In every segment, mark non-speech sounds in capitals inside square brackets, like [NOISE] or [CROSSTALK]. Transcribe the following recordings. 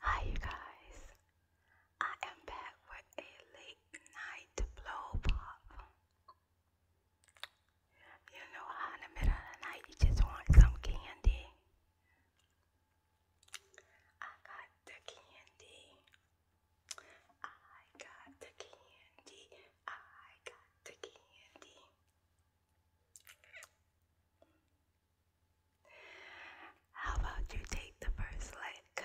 Hi, you guys. I am back with a late night blow You know in the middle of the night you just want some candy. I got the candy. I got the candy. I got the candy. How about you take the first lick?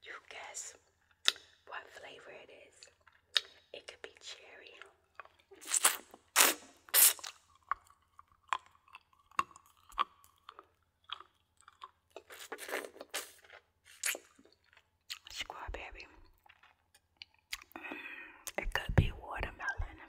You guess what flavor it is? It could be cherry. Squad mm, It could be watermelon.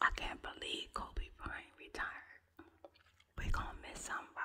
I can't believe Kobe Bryant retired. we gonna miss somebody.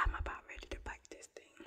I'm about ready to bite this thing.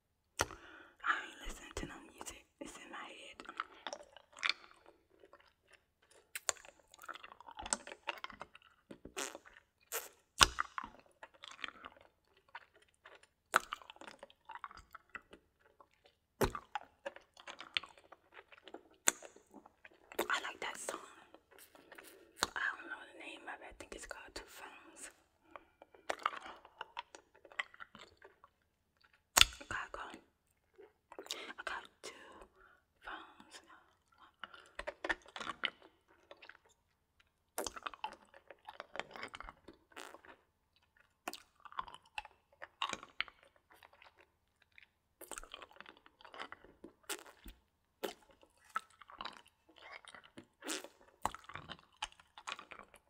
I ain't listening to no music. It's in my head. I like that song. I don't know the name of it. I think it's called Two Phones. I gotta I got two phones.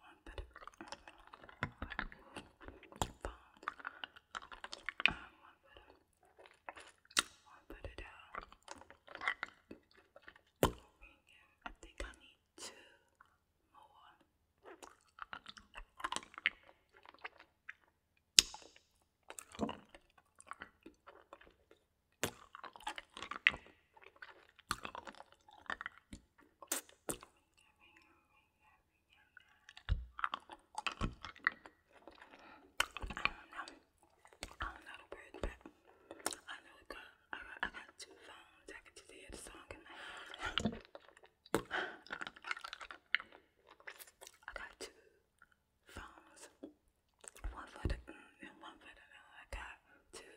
one bit of um, one bit of one bit of down. I think I need two more. I don't know the words, but I know I got, I got two phones. I can just hear the song in my head. I got two phones. One for the mm, and one for the uh, I got two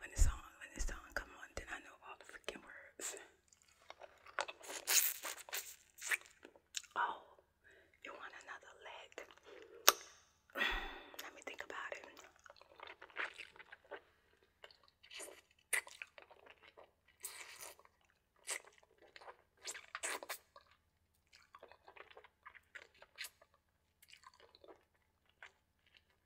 when it's on, when it's on, come on, then I know all the freaking words. Oh, you want another leg? Let me think about it.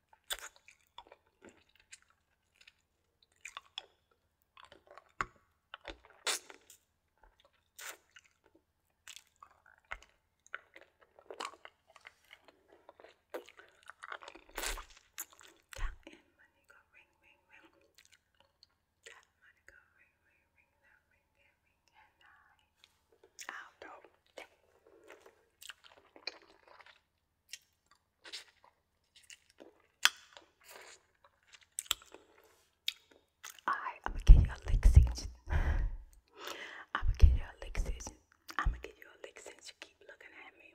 Tap in money go ring ring ring. Tap money go ring ring ring that ring there ring and I out though. I am gonna give you a lick cinch. [LAUGHS] I'm gonna give you a lick cinch. I'm gonna give you a lick since you keep looking at me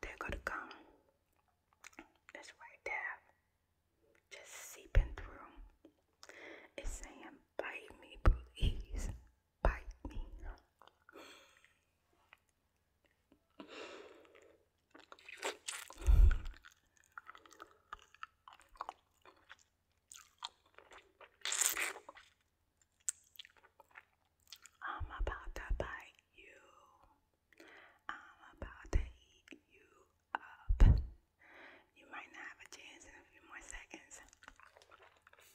They're gonna come. It's right there. Just seeping through. It's saying, bite me, please bite me. I'm about to bite you. I'm about to eat you up. You might not have a chance in a few more seconds.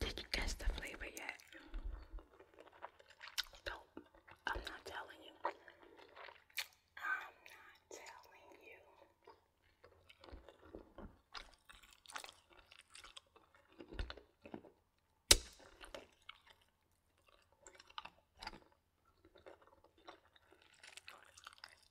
Did you guess the flavor yet? No, I'm not telling you. I'm not telling you.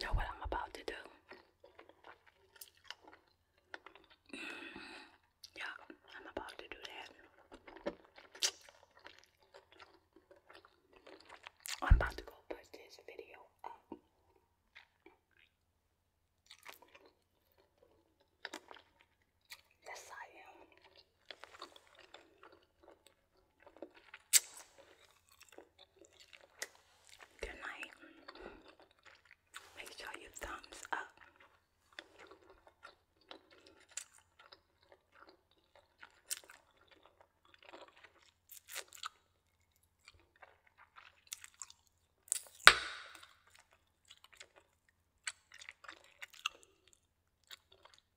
Know what I'm about to do? Mm, yeah, I'm about to do that. I'm about to go post this video up. Yes, I am. Good night. Make sure you thumbs up.